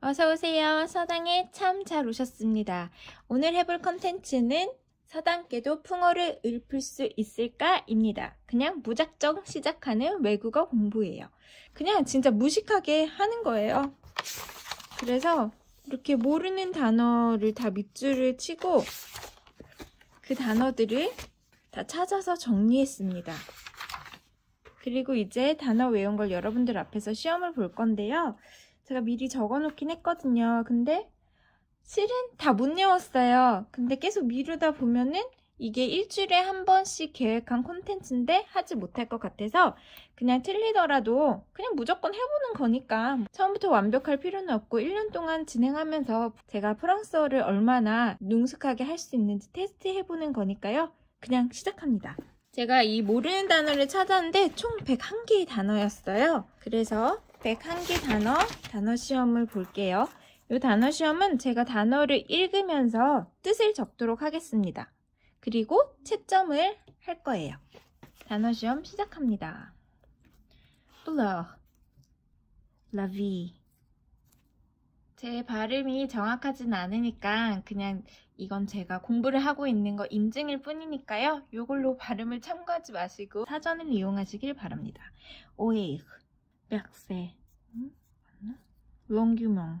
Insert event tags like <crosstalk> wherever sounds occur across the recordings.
어서오세요. 서당에 참 잘 오셨습니다. 오늘 해볼 컨텐츠는 서당께도 풍어를 읊을 수 있을까? 입니다. 그냥 무작정 시작하는 외국어 공부예요. 거예요. 그냥 진짜 무식하게 하는 거예요. 그래서 이렇게 모르는 단어를 다 밑줄을 치고 그 단어들을 다 찾아서 정리했습니다. 그리고 이제 단어 외운 걸 여러분들 앞에서 시험을 볼 건데요. 제가 미리 적어놓긴 했거든요. 근데 실은 다 못 외웠어요. 근데 계속 미루다 보면은 이게 일주일에 한 번씩 계획한 콘텐츠인데 쉽게 하지 못할 것 같아서 그냥 틀리더라도 그냥 무조건 해보는 거니까 뭐 처음부터 완벽할 필요는 없고 1년 동안 진행하면서 제가 프랑스어를 얼마나 능숙하게 할 수 있는지 테스트해보는 거니까요. 그냥 시작합니다. 제가 이 모르는 단어를 찾았는데 총 101개의 단어였어요. 그래서 101개 단어, 단어 시험을 볼게요. 이 단어 시험은 제가 단어를 읽으면서 뜻을 적도록 하겠습니다. 그리고 채점을 할 거예요. 단어 시험 시작합니다. Blur, la vie. 제 발음이 정확하진 않으니까 그냥 이건 제가 공부를 하고 있는 거 인증일 뿐이니까요. 이걸로 발음을 참고하지 마시고 사전을 이용하시길 바랍니다. 오에이흐, 백세, 롱규명,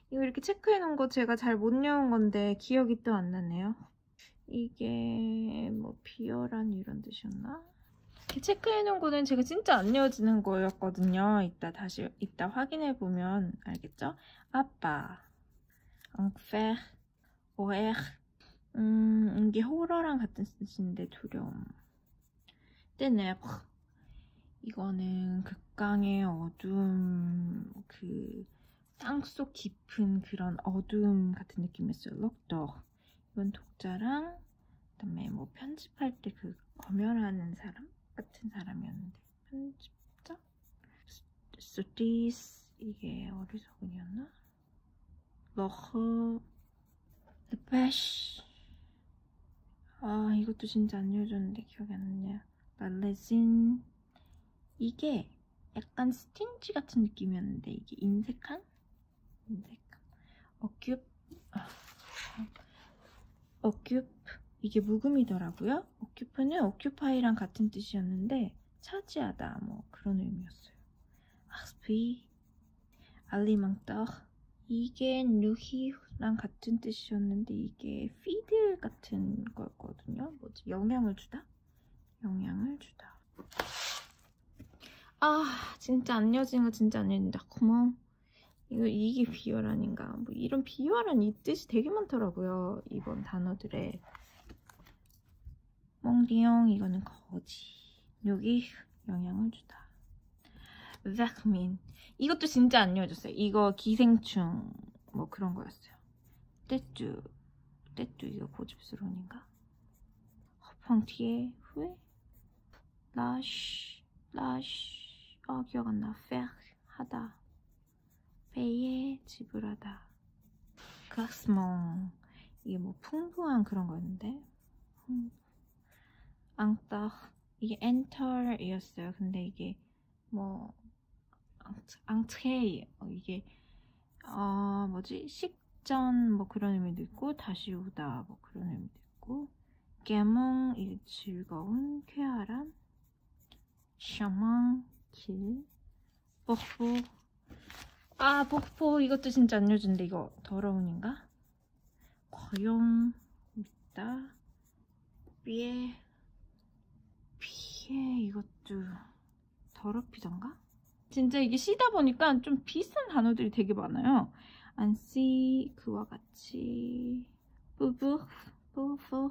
이거 이렇게 체크해 놓은 거 제가 잘못 외운 건데 기억이 또 안 나네요. 이게 뭐 비열한 이런 뜻이었나? 이렇게 체크해 놓은 거는 제가 진짜 안 외워지는 거였거든요. 이따 다시 이따 확인해 보면 알겠죠? 아빠, 엉페, 오에, 음 이게 호러랑 같은 뜻인데 두려움. 뜨네. 이거는 극강의 어둠 그그 땅속 깊은 그런 어둠 같은 느낌이었어요. 럭덕. 이건 독자랑 그다음에 뭐 편집할 때그 검열하는 사람 같은 사람이었는데 편집자? 스티스 이게 어리석은이었나? 러흐 르페쉬 아 이것도 진짜 안 읽어줬는데 기억이 안 나냐 말레진 이게 약간 스틴지 같은 느낌이었는데 이게 인색한? 인색한 어큐 아. 어큐 이게 묵음이더라고요 어큐프는 어큐파이랑 같은 뜻이었는데 차지하다 뭐 그런 의미였어요 악스피 알리망떡 이게 누히랑 같은 뜻이었는데 이게 피드 같은 거였거든요. 뭐지? 영향을 주다? 영향을 주다. 아 진짜 안 이어지는 거 진짜 안 이어진다. 고마워. 이거 이게 비열 아닌가? 뭐 이런 비열한 이 뜻이 되게 많더라고요. 이번 단어들에. 멍디용 이거는 거지. 여기 영향을 주다. v a c u 이것도 진짜 안 이어졌어요. 이거 기생충 뭐 그런 거였어요. 떼쭈 떼쭈 이거 고집스러운인가? 허팡 뒤에 후에 러쉬 러쉬 어 아, 기억 안나 페르 하다 배에 지불하다 가스몽 이게 뭐 풍부한 그런 거였는데 음. 앙떡 이게 엔털이었어요 근데 이게 뭐 앙트레이 어, 이게 어 뭐지 식전 뭐 그런 의미도 있고 다시 오다 뭐 그런 의미도 있고 깨몽 이게 즐거운 쾌활한 샤망 길 뽀뽀 아 뽀뽀 이것도 진짜 안 요즘인데 이거 더러운인가 과용 믿다 위에 피에 이것도 더럽히던가? 진짜 이게 씨다 보니까 좀 비슷한 단어들이 되게 많아요. 안씨 그와 같이 부부 부부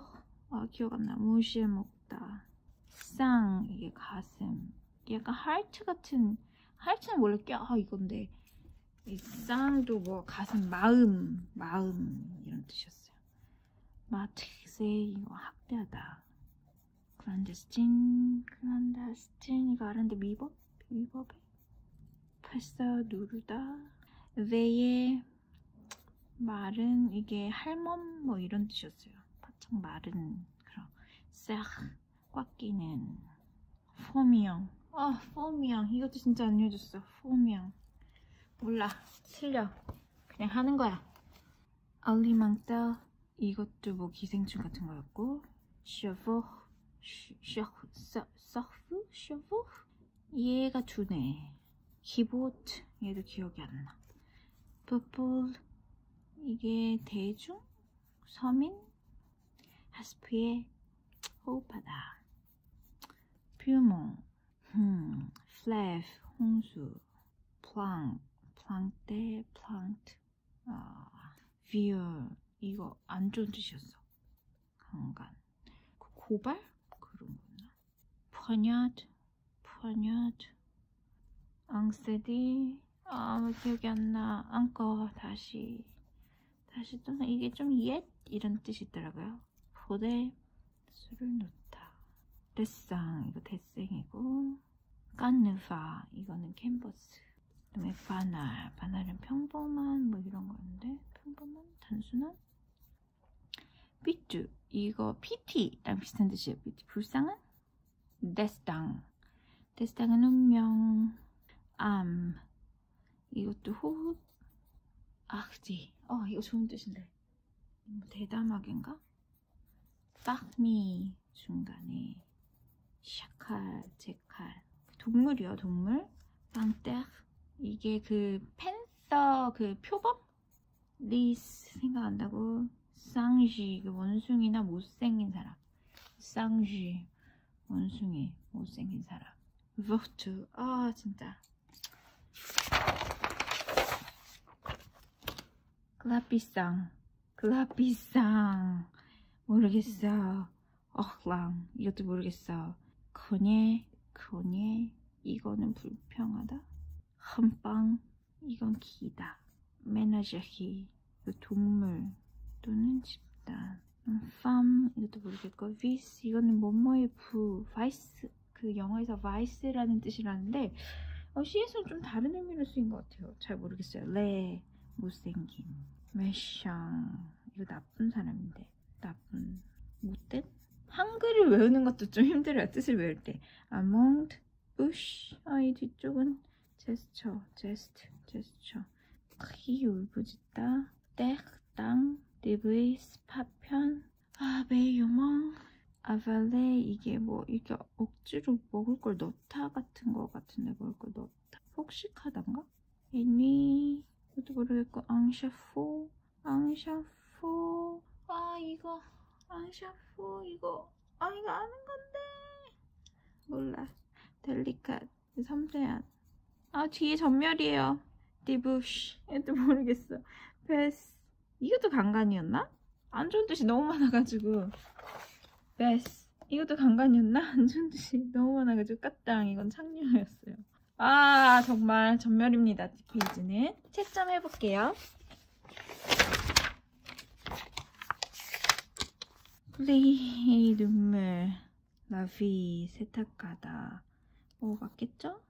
아 기억 안 나. 무시해 먹다. 쌍 이게 가슴. 약간 하트 같은 하트는 원래 껴아 이건데 이 쌍도 뭐 가슴 마음 마음 이런 뜻이었어요. 마트세이 학뼈다. 클란데스틴, 클란데스틴 이거 아는데 위법? 위법에? 발사 누르다. 왜의 말은 이게 할멈 뭐 이런 뜻이었어요. 바짝 마른 그런 싹꽉 끼는 포미형. 아 포미형 이것도 진짜 안 해줬어. 포미형. 몰라 틀려. 그냥 하는 거야 알리망따 이것도 뭐 기생충 같은 거였고 셔보 셔프 셔보 얘가 두네 키보트 얘도 기억이 안나 퍼플 이게 대중 서민 하스프의 호흡하다 퓨몽 음, 플래프, 홍수, 플랑, 플랑테, 플랑트, 아, 비얼 이거 안 좋은 뜻이었어. 강간. 그 고발? 그런 거나. 퍼냐드, 퍼냐드, 앙세디, 아, 기억이 안 나. 앙꺼, 다시. 다시 또, 이게 좀 옛? 이런 뜻이 있더라고요. 포대 술을 놓다 데상 이거 데생이고 깐느파 이거는 캔버스 그 다음에 바날 바날은 평범한 뭐 이런 거였는데 평범한 단순한 삐쭈 이거 PT랑 비슷한 뜻이에요 PT 불쌍한 데스당 데스당은 운명 암 이것도 호흡 악디 아, 어 이거 좋은 뜻인데 뭐 대담하긴가? 딱미 중간에 샤칼, 제칼 동물이요 동물 땅떼 이게 그 펜서 그 표범? 리스 생각한다고 쌍쥐 그 원숭이나 못생긴 사람 쌍쥐 원숭이 못생긴 사람 버투 아 진짜 글라피상 글라피상 모르겠어 어랑 이것도 모르겠어 거네 거네 이거는 불평하다 한방 이건 기다 메나제히 동물 또는 집단 팜 이것도 모르겠고 위스 이거는 뭐뭐의 부 바이스 그 영어에서 vice라는 뜻이라는데 어, 시에서는 좀 다른 의미로 쓰인 것 같아요. 잘 모르겠어요. 레 네, 못생긴 매샹 이거 나쁜 사람인데 나쁜 못된 한글을 외우는 것도 좀 힘들어요. 뜻을 외울 때 among bush 아이 뒤쪽은 제스처 제스트 제스처 크게 울부짖다 떼땅 리브이 스파편 아 매유멍 아발레 이게 뭐 이렇게 억지로 먹을 걸 넣다 같은 거 같은데 먹을 걸 넣다 폭식하단가? 애니 그것도 모르겠고 앙샤포 앙샤포 아 이거 앙샤포 이거 아 이거 아는 건데 몰라 델리캇 섬세한 아 뒤에 전멸이에요 디부쉬 애도 모르겠어 베스 이것도 간간이었나? 안 좋은 뜻이 너무 많아가지고 베스 이것도 간간이었나? 안 좋은 뜻이 너무 많아가지고 까땅 이건 창녀였어요 아 정말 전멸입니다 뒷페이지는 채점 해볼게요 플레이 네, 눈물 라비 세탁가다 오 뭐 맞겠죠?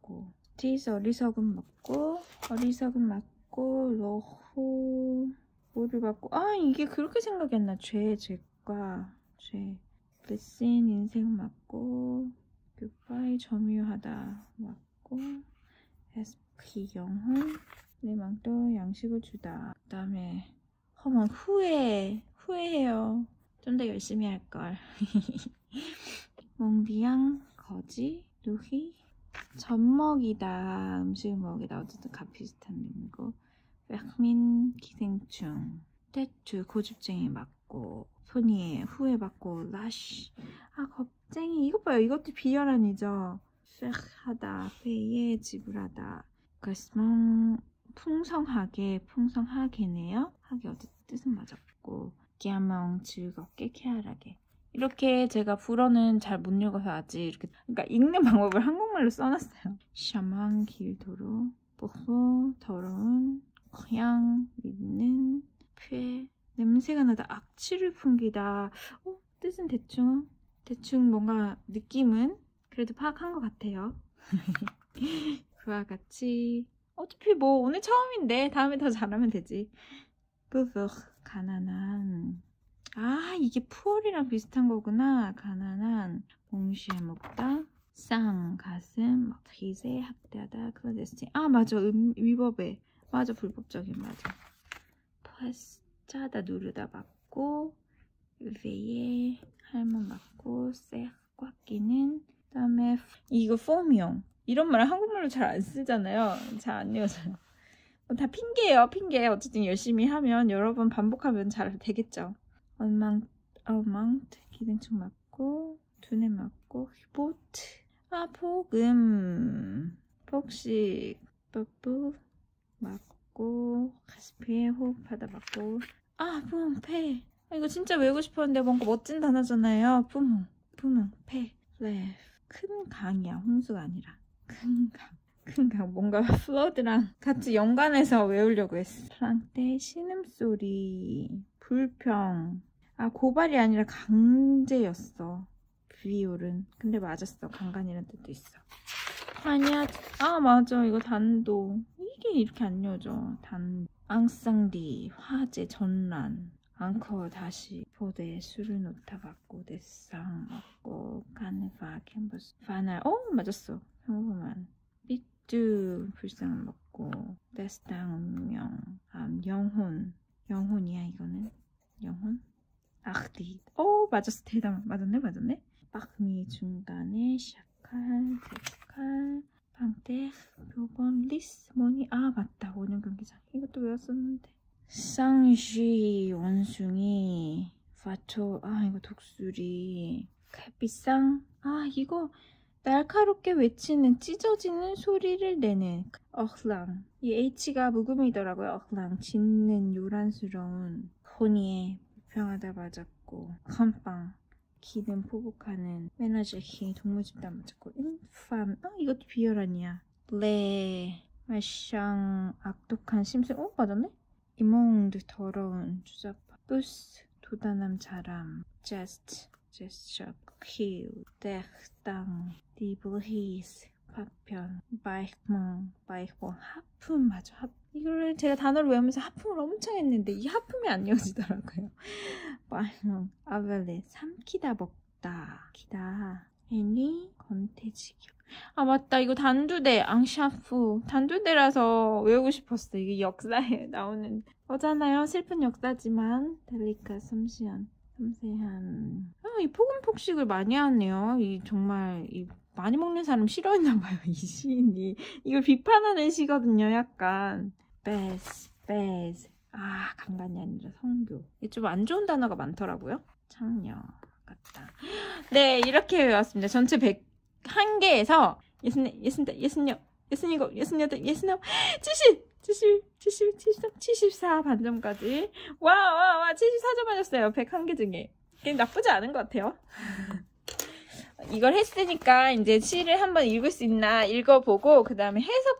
먹고 디스 어리석은 먹고 어리석은 맞고 러호 뭐를 받고 아 이게 그렇게 생각이 안나 죄, 죄과 죄 레슨 인생 맞고 굿바이 점유하다 맞고 SP 영혼 내 망도 양식을 주다 그 다음에 허만 후회 후회해요 좀더 열심히 할걸 <laughs> 몽비양, 거지, 루히 젖먹이다 음식을 먹이다 어쨌든 가피스탄 링고 백민 기생충 떼추 고집쟁이 맞고 소니에 후회받고 라쉬 아 겁쟁이 이것 봐요 이것도 비열한이죠 팩하다 회의에 지불하다 그스망 풍성하게 풍성하게네요 하게 어쨌든 뜻은 맞았고 기아멍 즐겁게 쾌활하게 이렇게 제가 불어는 잘 못 읽어서 아직 이렇게 그러니까 읽는 방법을 한국말로 써놨어요 샤망 길도로 뽀뽀 더러운 고향 믿는 쾌 냄새가 나다 악취를 풍기다 어, 뜻은 대충 대충 뭔가 느낌은 그래도 파악한 것 같아요 <laughs> 그와 같이 어차피 뭐 오늘 처음인데 다음에 더 잘하면 되지 뿌뿌 가난한 아 이게 푸얼이랑 비슷한 거구나 가난한 동시에 먹다 쌍 가슴 막 기세 학대하다 클로데스틴 아 맞아 음, 위법에 맞아 불법적인 맞아 플러스 짜다 누르다 맞고 위에 할머 맞고 세꽉 끼는 그다음에 이거 폼이용 이런 말 한국말로 잘 안 쓰잖아요 잘안 외워서요 뭐 어, 다 핑계예요 핑계 어쨌든 열심히 하면 여러 번 반복하면 잘 되겠죠 얼망 얼망 기생충 맞고 두뇌 맞고 히보트 아 복음 복식 뿌뿌 맞고 가스피에 호흡하다 맞고 아 분패 아, 이거 진짜 외우고 싶었는데 뭔가 멋진 단어잖아요. 푸몽, 푸몽, 페, 레. 큰 강이야. 홍수가 아니라. 큰 강. 큰 강. 뭔가 플러드랑 같이 연관해서 외우려고 했어. 프랑테 신음소리. 불평. 아, 고발이 아니라 강제였어. 비올은. 근데 맞았어. 강간이라는 뜻도 있어. 아니야. 아, 맞아. 이거 단도. 이게 이렇게 안 여져. 단. 앙상리 화재 전란 앙커 다시 포대에 술을 놓다 받고 내상 먹고 간파 캠퍼스 파날 어 맞았어 평범한 삐뚤 불쌍한 먹고 데스당 운명 아 영혼 영혼이야 이거는 영혼 악디 어 맞았어 대담 맞았네 맞았네 박미 중간에 샤칼 데칼 방떼 요번 리스모니 아 맞다 오는 경기장 이것도 외웠었는데 쌍쥐 원숭이 파토 아 이거 독수리 갈비쌍 아 이거 날카롭게 외치는 찢어지는 소리를 내는 어흐랑 이 H가 묵음이더라고요 어흐랑 짖는 요란스러운 코니에 불평하다 맞았고 컴빵 기는 포복하는 매너저 기 동물집단 맞췄고 인팜 아 이것도 비열 아니야 레 네. 말샹 악독한 심술 어 맞았네 이몽드 더러운 주작파 부스 도다남 자람 제스트 제스처 킬 덱당 디블히스 파편 바이크몽 바이크몽 하품 맞아 하품 이걸 제가 단어를 외우면서 하품을 엄청 했는데 이 하품이 안 이어지더라고요 빠용 아벨레 삼키다 먹다 키다 애니 건태지경 아 맞다 이거 단두대 앙샤프 단두대라서 외우고 싶었어 이게 역사에 <laughs> 나오는 거잖아요 슬픈 역사지만 델리카 섬시한 섬세한 아, 이 포근폭식을 많이 하네요 이 정말 이 많이 먹는 사람 싫어했나봐요 <laughs> 이 시인이 이걸 비판하는 시거든요 약간 베스 베스 아 강단이 아니라 성교 좀안 좋은 단어가 많더라고요 창녀 같다 네 이렇게 외웠습니다 전체 101개에서 예순, 예순, 예순여 예순이곱 예순여덟 예순아홉 칠십 칠십 칠십 칠십삼 칠십사 반점까지 와와와 와, 74점 맞았어요 101개 중에 그냥 나쁘지 않은 것 같아요 <laughs> 이걸 했으니까 이제 시를 한번 읽을 수 있나 읽어보고 그 다음에 해석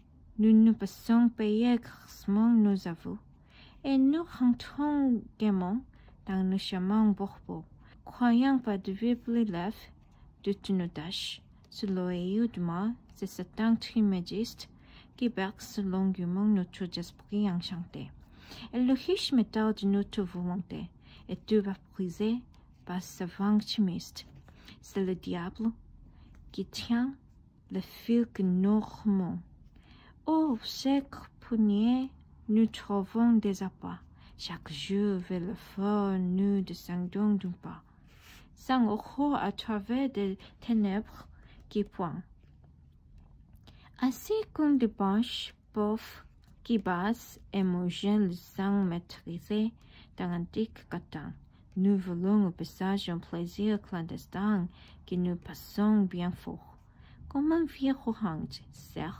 Nous nous passons payer grassement nos aveux, et nous rentrons gaiement dans le chemin Borbo, croyant pas de vivre l'élève de nos tâches. Sous l'oreille du de c'est Satan trimégiste qui berce longuement notre esprit enchanté. Et le riche métal de notre volonté est tout briser par ce vent chimiste c'est le diable qui tient le fil que nous remons. chaque poignée, nous trouvons des appâts. Chaque jour vers le fort, nous descendons d'un pas. Sans à travers des ténèbres qui pointent. Ainsi comme des branches pauvres qui basse et mangent le sang maîtrisé dans l'antique. dick nous voulons au passage un plaisir clandestin que nous passons bien fort, comme un vieux orange, certes,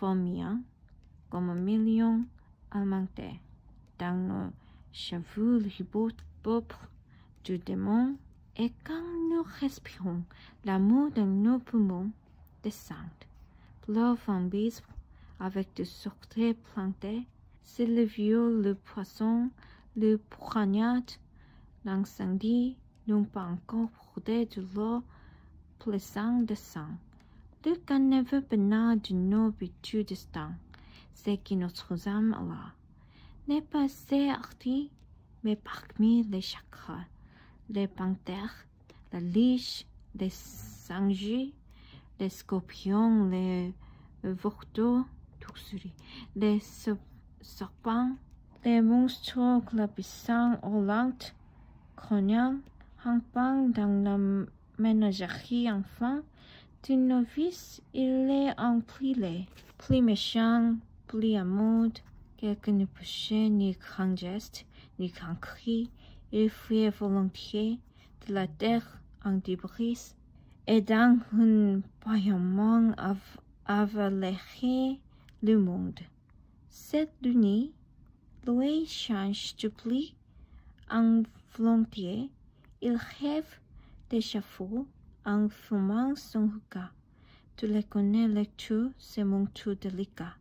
comme un million amanté, dans nos cheveux ribotes propre du démon, et quand nous respirons, l'amour de nos poumons descend, leurs en avec des sorties plantées c'est le viol, le poisson, le poignard, l'incendie, n'ont pas encore brodé de l'eau plaisante de sang. Le caniveau banal de nos buts de sang, c'est que notre âme Allah n'est pas assez hardi mais parmi les chakras, les panthères, les liches, les sangliers les scorpions, les euh, vorteaux, tout les serpents, les monstres glapissants aux lentes, rampant dans la ménagerie enfant, d'une novice, il est en pli plus méchant, plus amoureux. quelqu'un ne ni grand geste, ni grand cri, il volontiers, de la terre en débris et dans un paillement Avaléré le monde. Cette nuit, Louis change de pli en volontiers. Il rêve d'échafaud en fumant son regard. Tu le connais, lecteur c'est mon tout délicat.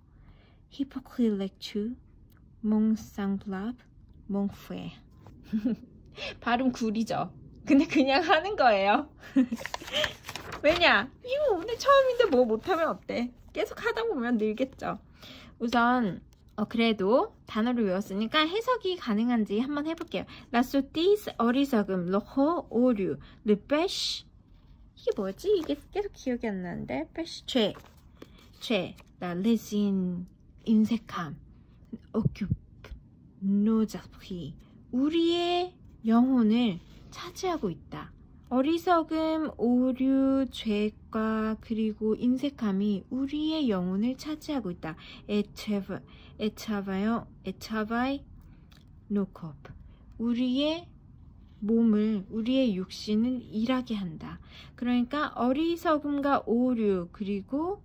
Hypocrite lecteur mon semblable, 몽프에 <laughs> 발음 구리죠 근데 그냥 하는 거예요 <laughs> 왜냐 이거 오늘 처음인데 뭐 못하면 어때 계속 하다 보면 늘겠죠 우선 어, 그래도 단어를 외웠으니까 해석이 가능한지 한번 해볼게요 라소티스 어리석음 로호 오류 르페쉬 이게 뭐지? 이게 계속 기억이 안 나는데 패시 죄, 죄, 나 레진 인색함, occupe nos esprits, 우리의 영혼을 차지하고 있다. 어리석음, 오류, 죄과 그리고 인색함이 우리의 영혼을 차지하고 있다. 에차바요, 에차바이 노컵. 우리의 몸을, 우리의 육신을 일하게 한다. 그러니까 어리석음과 오류 그리고 바로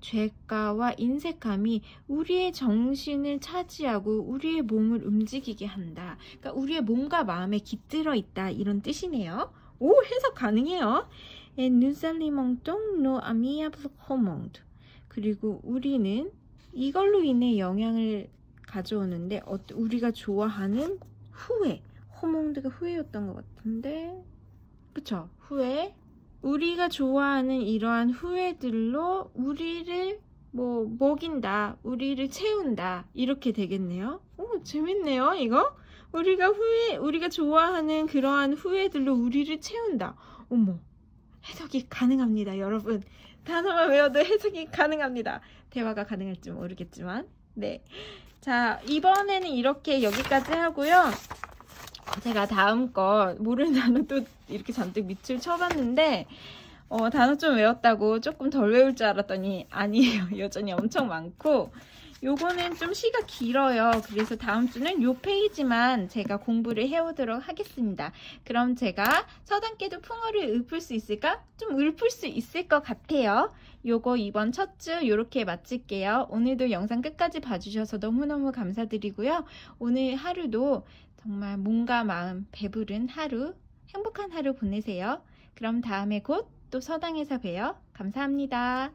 죄가와 인색함이 우리의 정신을 차지하고 우리의 몸을 움직이게 한다. 그러니까 우리의 몸과 마음에 깃들어 있다. 이런 뜻이네요. 오, 해석 가능해요. 눈살리멍뚱 노 아미아브 호멍드. 그리고 우리는 이걸로 인해 영향을 가져오는데 어, 우리가 좋아하는 후회. 호몽드가 후회였던 것 같은데 그쵸? 후회. 우리가 좋아하는 이러한 후회들로 우리를 뭐 먹인다, 우리를 채운다 이렇게 되겠네요. 오 재밌네요 이거. 우리가 후회, 우리가 좋아하는 그러한 후회들로 우리를 채운다. 어머 해석이 가능합니다 여러분. 단어만 외워도 해석이 가능합니다. 대화가 가능할지 모르겠지만 네. 자, 이번에는 이렇게 여기까지 하고요. 제가 다음 거 모르는 단어 또 이렇게 잔뜩 밑을 쳐봤는데 어, 단어 좀 외웠다고 조금 덜 외울 줄 알았더니 아니에요. <laughs> 여전히 엄청 많고 요거는 좀 시가 길어요. 그래서 다음 주는 요 페이지만 제가 공부를 해오도록 하겠습니다. 그럼 제가 서단계도 풍어를 읊을 수 있을까? 좀 읊을 수 있을 것 같아요. 요거 이번 첫 주 이렇게 마칠게요. 오늘도 영상 끝까지 봐주셔서 너무너무 감사드리고요. 오늘 하루도 정말 몸과 마음 배부른 하루, 행복한 하루 보내세요. 그럼 다음에 곧 또 서당에서 봬요. 감사합니다.